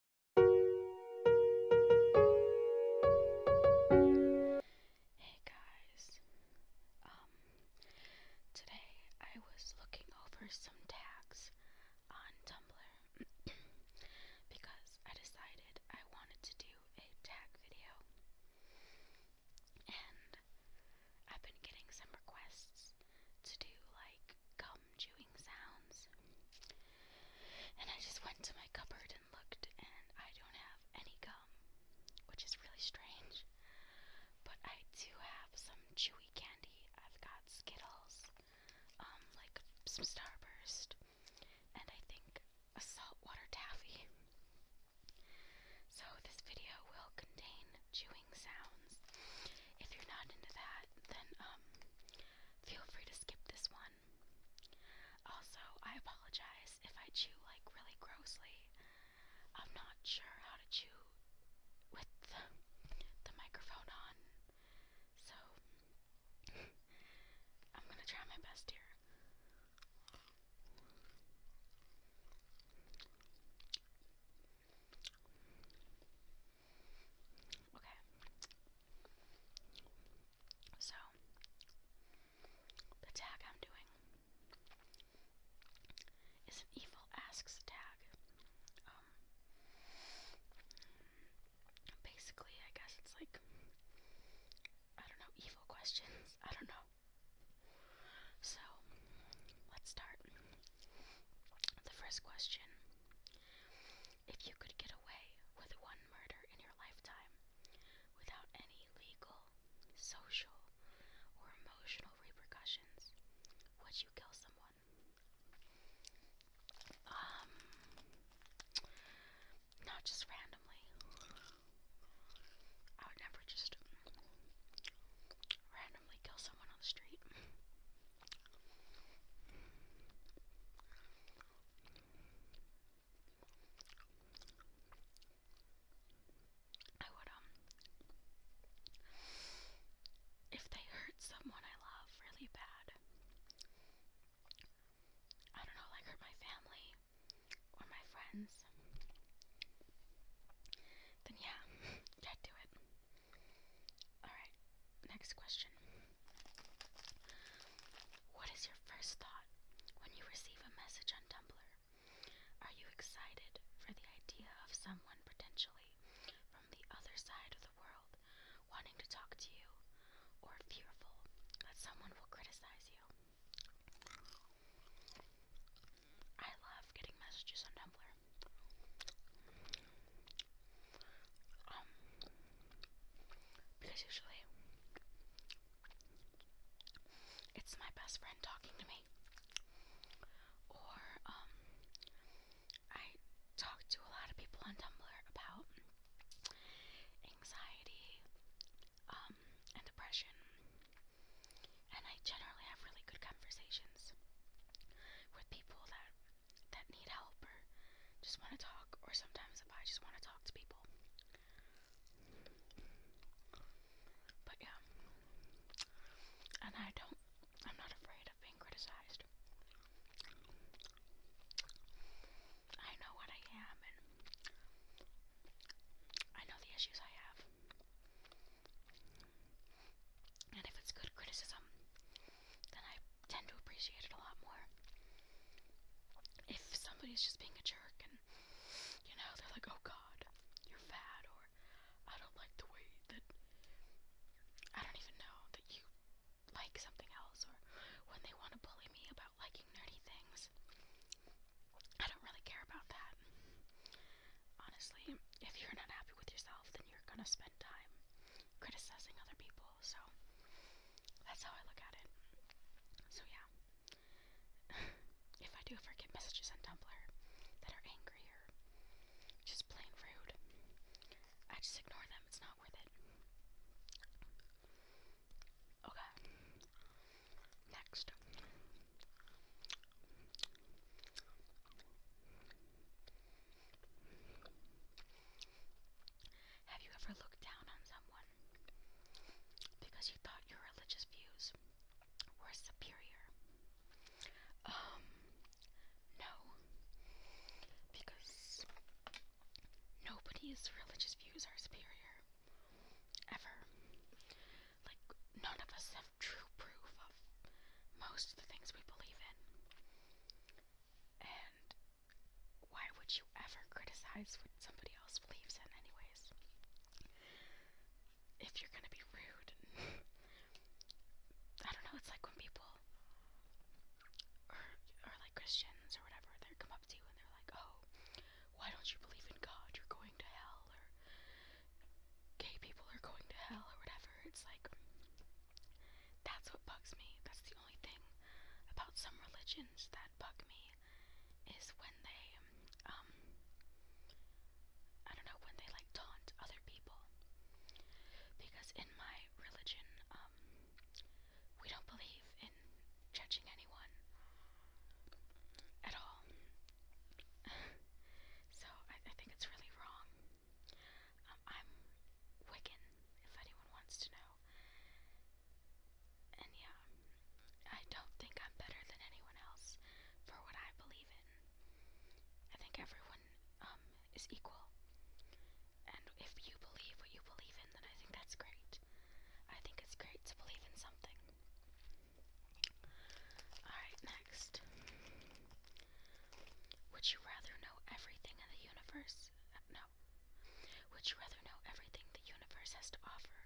Hey guys. Um today I was looking over some tags on Tumblr because I decided I wanted to do a tag video. And I've been getting some requests to do like chewing sounds. And I just went to my cupboard and looked, and I don't have any gum, which is really strange. But I do have some chewy candy. I've got Skittles, um, like some Starburst, and I think a saltwater taffy. So this video will contain chewing sounds. If you're not into that, then um, Feel free to skip this one. Also, I apologize if I chew like really grossly. I'm not sure how to chew with the, the microphone on. So, I'm gonna try my best here. Okay. So, the tag I'm doing is an evil asks tag. Um, basically, I guess it's like, I don't know, evil questions. I don't know. So, let's start. The first question if you could get away with one murder in your lifetime without any legal, social, or emotional repercussions, would you kill someone? Um, not just randomly. I would never just randomly kill someone on the street. I would, um, if they hurt someone I love really bad, I don't know, like hurt my family or my friends, then yeah, get to it. Alright, next question. What is your first thought when you receive a message on Tumblr? Are you excited for the idea of someone potentially from the other side of the world wanting to talk to you, or fearful that someone will criticize you? I love getting messages on Tumblr. Um, because usually it's my best friend talking to me, or um, I talk to a lot of people on Tumblr about anxiety um, and depression, and I generally have really good conversations with people that that need help or just want to talk, or sometimes if I just want to talk to people. But yeah, and I don't, I'm not afraid of being criticized. I know what I am, and I know the issues I have and if it's good criticism, then I tend to appreciate it a lot more. If somebody's just being a jerk and, you know, they're like, oh god, you're fat, or I don't like the way that, I don't even know, that you like something else, or when they want to bully me about liking nerdy things, I don't really care about that honestly, if you're not happy with yourself, then you're gonna spend time criticizing other people. So that's how I look at it. So yeah, if I do ever get messages on Tumblr that are angry or just plain rude, I just ignore them. It's not worth it. Okay. Next. Have you ever looked down on someone because you thought your religious views were superior? Um, no. Because nobody's religious views are superior. Ever. Like, none of us true proof of most of the things we believe in. And why would you ever criticize what somebody else believes in, anyways? If you're gonna be rude, I don't know, it's like when people, or, or like Christians or whatever, they come up to you and they're like, oh, why don't you believe in God? You're going to hell, gay people are going to hell or whatever. It's like, that's what bugs me. That's the only thing about some religions that bug me is when they, um, I don't know, when they like taunt other people. Because in my religion, um, we don't believe in judging anyone at all. so I, I think it's really wrong. Um, I'm Wiccan, if anyone wants to know. And yeah, I don't think I'm better than anyone else for what I believe in. I think everyone um, is equal. And if you believe what you believe in, then I think that's great. I think it's great to believe in something. Alright, next. Would you rather know everything in the universe? Uh, no. Would you rather know everything the universe has to offer,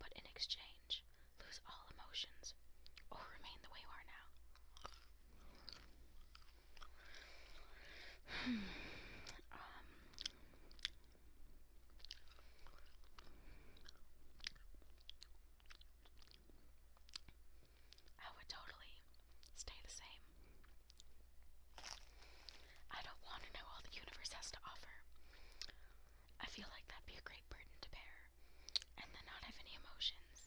but in exchange, lose all emotions, or remain the way you are now? Hmm. Um, I would totally stay the same. I don't want to know all the universe has to offer. I feel like that'd be a great burden to bear, and then not have any emotions.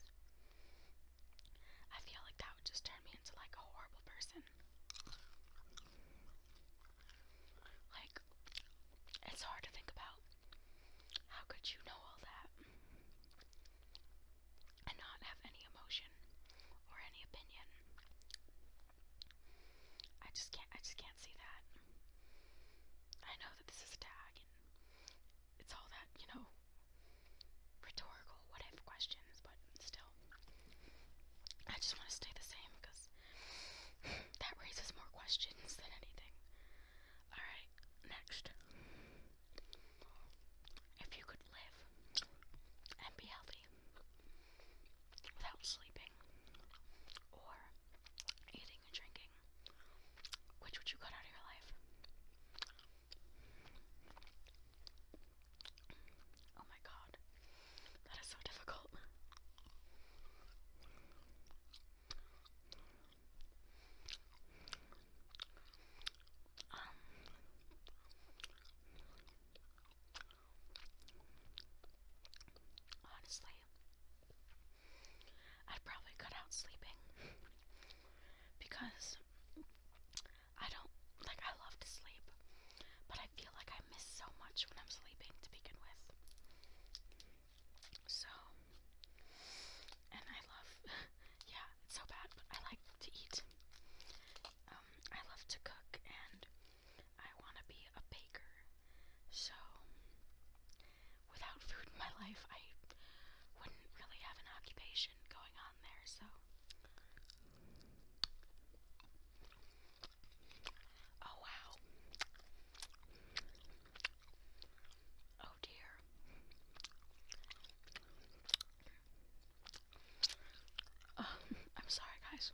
I feel like that would just turn me into like a horrible person. Like, it's hard to think about how could you know all that and not have any emotion or any opinion? I just can't I just can't see that. I know that this is a tag and it's all that, you know, rhetorical what if questions, but still. I just want to stay the same because that raises more questions than anything. Alright, next. If you could live and be healthy without sleeping or eating and drinking, which would you cut out of your life? Oh my god, that is so difficult. Um, honestly, I'd probably cut out sleeping because I don't like I love to sleep, but I feel like I miss so much when I'm sleeping to begin with. So, and I love, yeah, it's so bad, but I like to eat. Um, I love to cook, and I want to be a baker. So, without food in my life, I wouldn't really have an occupation going on there, so. Oh wow. Oh dear. Um, I'm sorry, guys.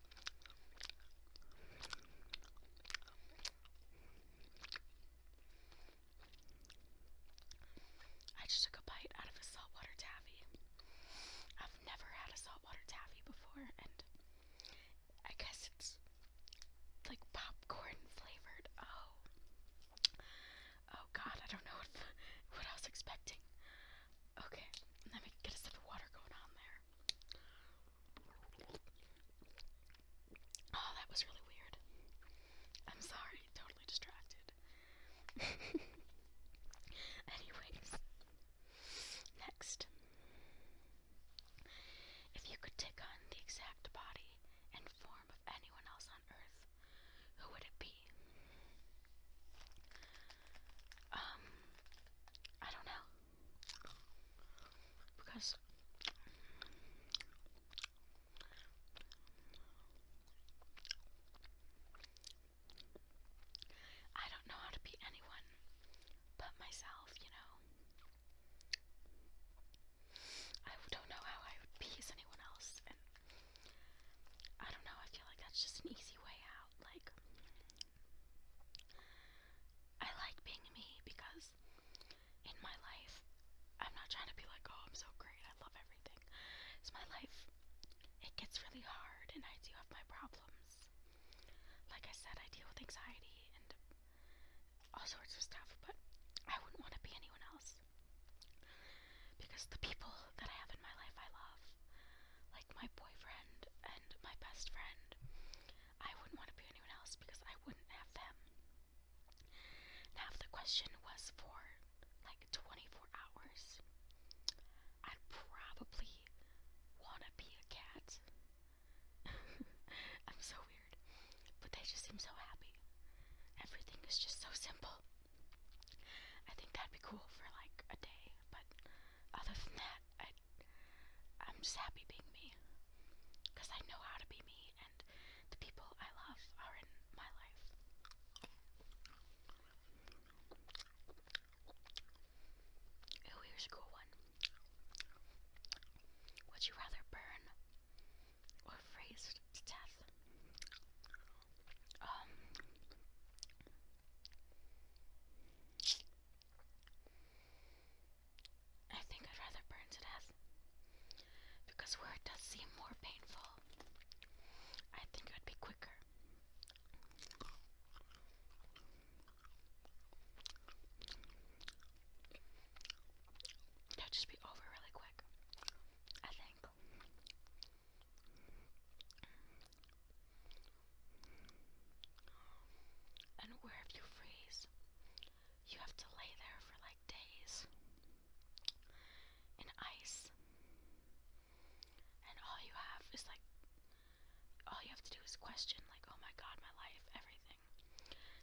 I just took a bite out of a saltwater taffy. I've never had a saltwater taffy before, and I guess it's like popcorn flavored. Oh, oh God, I don't know what, what I was expecting. Okay, let me get a sip of water going on there. Oh, that was really weird. I'm sorry, totally distracted. Anyways, next. If you could take on the exact body and form of anyone else on Earth, who would it be? Um, I don't know. Because. I don't know how to be anyone but myself, you know? I don't know how I would please anyone else, and I don't know. I feel like that's just an easy way out. Like, I like being me because in my life, I'm not trying to be like, oh, I'm so great. I love everything. It's my life. It gets really hard, and I do have my problems. Like I said, I deal with anxiety and all sorts of stuff, but I wouldn't want to be anyone else. Because the people that I have in my life I love, like my boyfriend and my best friend, I wouldn't want to be anyone else because I wouldn't have them. Now, if the question was for like 24 hours, I'd probably want to be a cat I'm so weird. But they just seem so happy. Everything is just so simple. I think that'd be cool for like a day, but other than that, I, I'm just happy being me. Because I know how to be me, and the people I love are in my life. Oh, here's a cool one. Would you rather burn or freeze to death? Um, I think I'd rather burn to death because where it does seem more painful, I think it would be quicker. That'll just be over really quick. I think. And where if you freeze, you have to lay there for like days in ice. And all you have is like all you have to do is question, like, oh my god, my life, everything.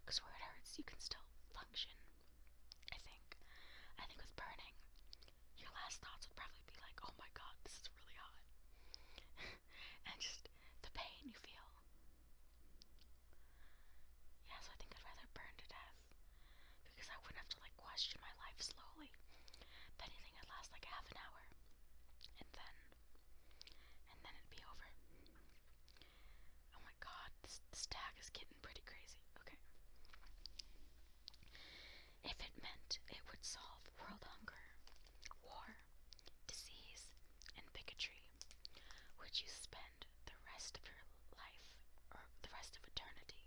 Because where it hurts, you can still function. I think. I think with burning, your last thoughts would probably be like, oh my god, this is really hot. and just the pain you feel. Yeah, so I think I'd rather burn to death. Because I wouldn't have to like question my life slowly. If anything, i lasts like half an hour. And then and then it'd be over. Oh my god, this, tag is getting pretty crazy. Okay. If it meant it would solve world hunger, war, disease, and bigotry, would you spend the rest of your life or the rest of eternity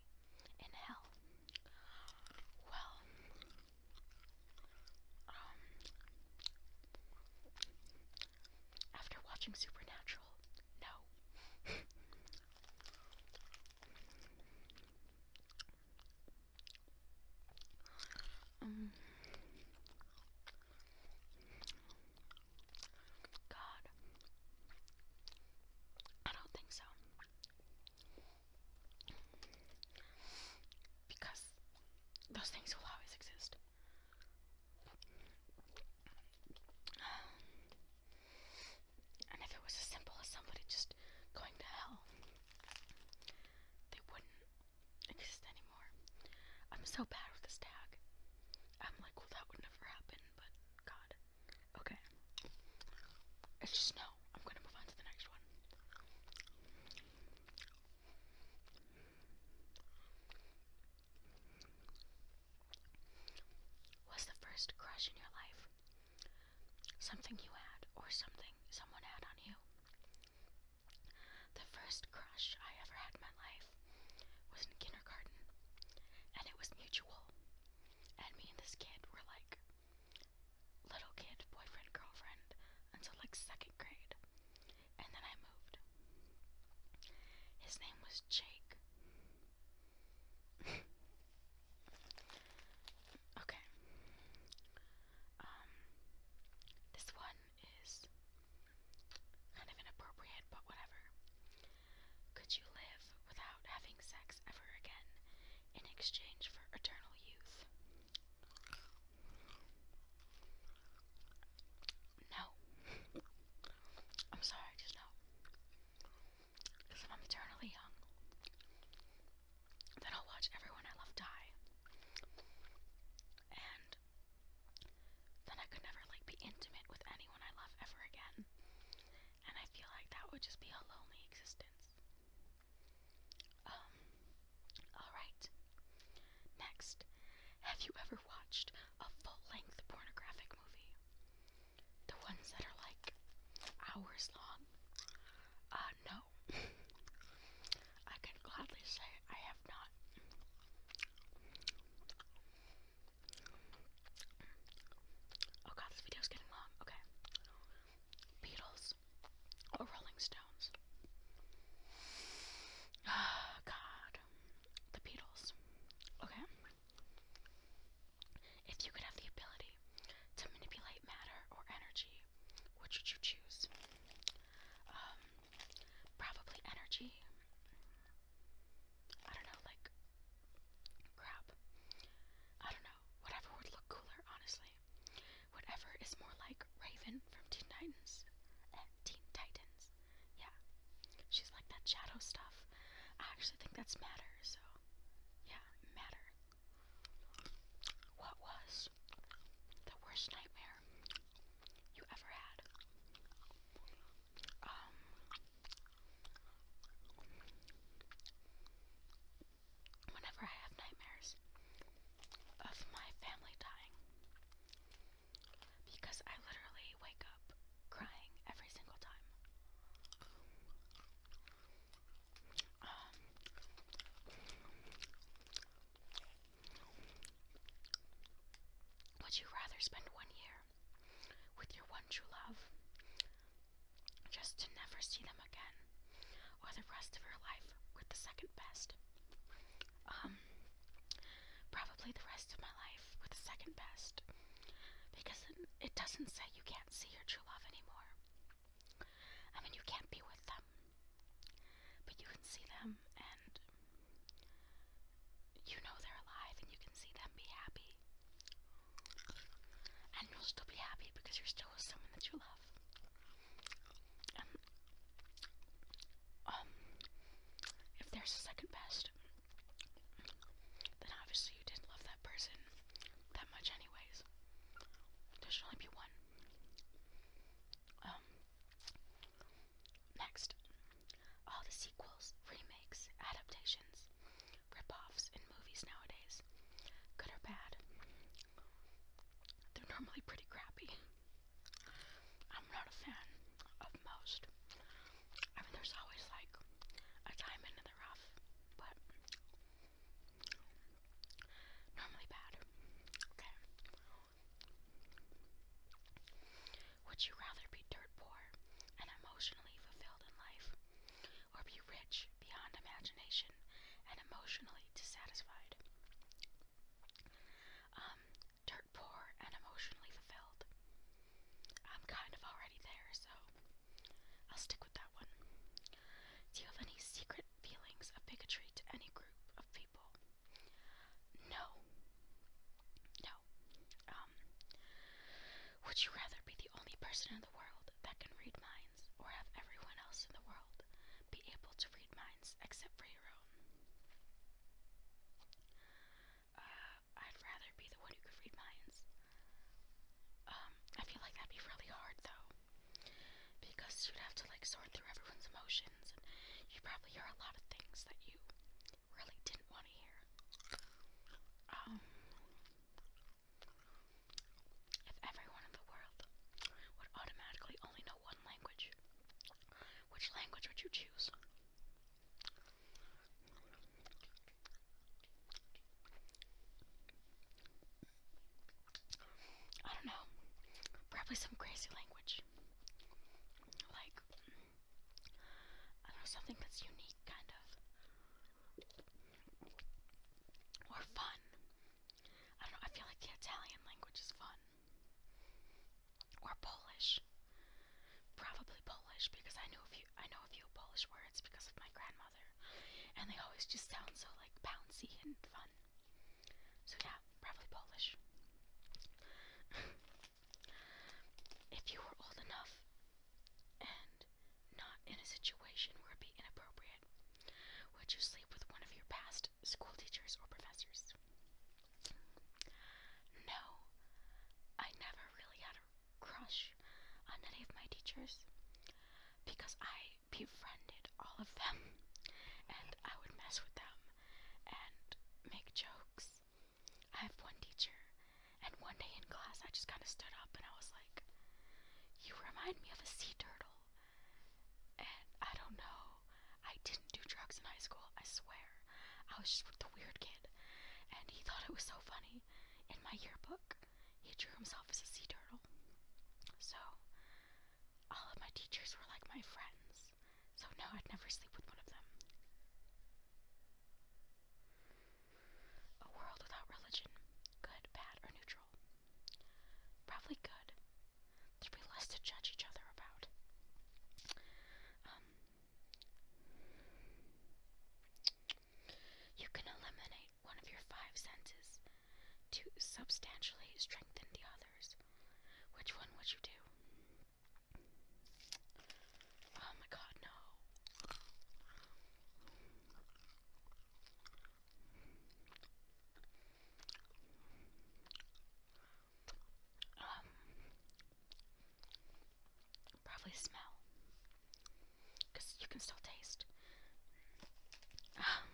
in hell? Well, um, after watching Supernatural, no. um, God, I don't think so. Because those things will always exist. And if it was as simple as somebody just going to hell, they wouldn't exist anymore. I'm so bad with this tag. I'm like, well, that would never happen, but God. Okay. It's just no. I'm gonna move on to the next one. What's the first crush in your life? Something you had, or something someone had on you. The first crush I ever had in my life was in kindergarten, and it was mutual. And me and this kid were like little kid, boyfriend, girlfriend until like second grade. And then I moved. His name was Jake. okay. Um this one is kind of inappropriate, but whatever. Could you live without having sex ever again in exchange for eternal youth? No. I'm sorry, just no. Because if I'm eternally young, then I'll watch everyone I love die. And then I could never like be intimate with anyone I love ever again. And I feel like that would just be a lonely existence. Um, alright. Next, have you ever watched a full length pornographic movie? The ones that are like hours long? Uh, no. I can gladly say I have not. Oh god, this video's getting long. Okay. Beatles. Beatles Rolling Stones? Ah, God. The Beatles. Okay? If you could have the ability to manipulate matter or energy, which would you choose? Um, probably energy. I don't know, like crap. I don't know. Whatever would look cooler, honestly whatever is more like Raven from Teen Titans. Eh, Teen Titans. Yeah. She's like that shadow stuff. I actually think that's matter, so yeah, matter. What was the worst nightmare you ever had? Um, whenever I have nightmares of my family dying. Because I literally wake up crying every single time. Um, would you rather spend one year with your one true love just to never see them again, or the rest of her life with the second best. Um, probably the rest of my life with the second best, because then it doesn't say you can't see your true love anymore. I mean, you can't be with them, but you can see them, and you know they're alive, and you can see them be happy. And you'll still be happy because you're still with someone that you love. Um, um, if there's a second best, then obviously you didn't love that person that much anyways. There should only be one. Um, next, all the sequels, remakes, adaptations, rip-offs in movies nowadays good or bad. They're normally pretty crappy. I'm not a fan of most. I mean, there's always like a diamond in the rough, but normally bad. Okay. Would you rather be dirt poor and emotionally fulfilled in life, or be rich beyond imagination and emotionally dissatisfied. Um, dirt poor and emotionally fulfilled. I'm kind of already there, so I'll stick with that one. Do you have any secret feelings of bigotry to any group of people? No. No. Um, would you rather be the only person the world that can read minds, or have everyone else in the world be able to read minds except for your own. Uh, I'd rather be the one who could read minds. Um, I feel like that'd be really hard though, because you'd have to like sort through everyone's emotions, and you probably hear a lot of things that you really didn't want to hear. Um, if everyone in the world would automatically only know one language, which language would you choose? I don't know. Probably some crazy language. Like, I don't know, something that's unique, kind of or fun. I don't know, I feel like the Italian language is fun. Or Polish. Probably Polish because I know a few I know a few Polish words because of my grandmother. And they always just sound so like bouncy and fun. So yeah, probably Polish. if you were old enough and not in a situation where it'd be inappropriate? Would you sleep with one of your past school teachers or professors? No, I never really had a crush on any of my teachers because I befriended all of them and I would mess with them and make jokes. I have one teacher and one day in class, I just kind of stood up and I was like, You remind me of a sea turtle. And I don't know, I didn't do drugs in high school, I swear. I was just the weird kid. And he thought it was so funny. In my yearbook, he drew himself as a sea turtle. So, all of my teachers were like my friends. So, no, I'd never sleep with one of them. A world without religion. Good, bad, or neutral? Probably good. There'd be less to judge each other about. Um, you can eliminate one of your five senses to substantially strengthen the others. Which one would you do? Oh my god, no. Um, probably smell, because you can still taste. Um,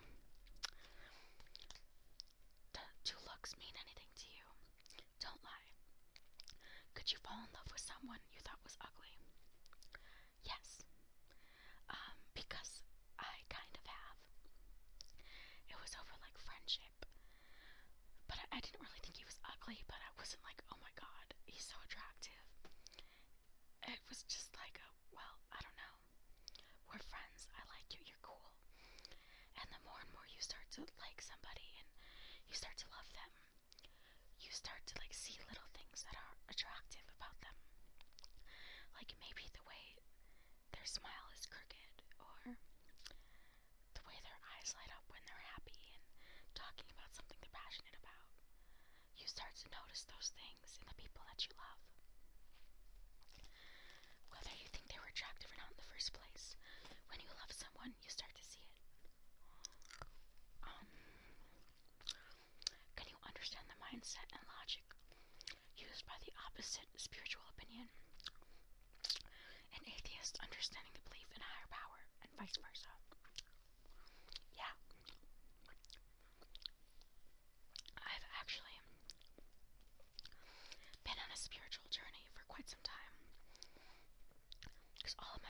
do looks mean anything to you? Don't lie. Could you fall in love with someone you thought was ugly? Yes. Um, because I kind of have. It was over like friendship. But I, I didn't really think he was ugly, but I wasn't like, oh my god, he's so attractive. It was just like a, well, I don't know. We're friends, I like you, you're cool. And the more and more you start to like somebody and you start to love them, you start to like see little things that are attractive about them. Like maybe the way their smile is crooked or the way their eyes light up when they're happy and talking about something they're passionate about. You start to notice those things in the people that you love. Whether you think they were attractive or not in the first place, when you love someone, you start to see it. Um, can you understand the mindset and logic used by the opposite spiritual opinion? An atheist understanding the belief in higher power, and vice versa. Yeah. I've actually been on a spiritual journey for quite some time. Because all of my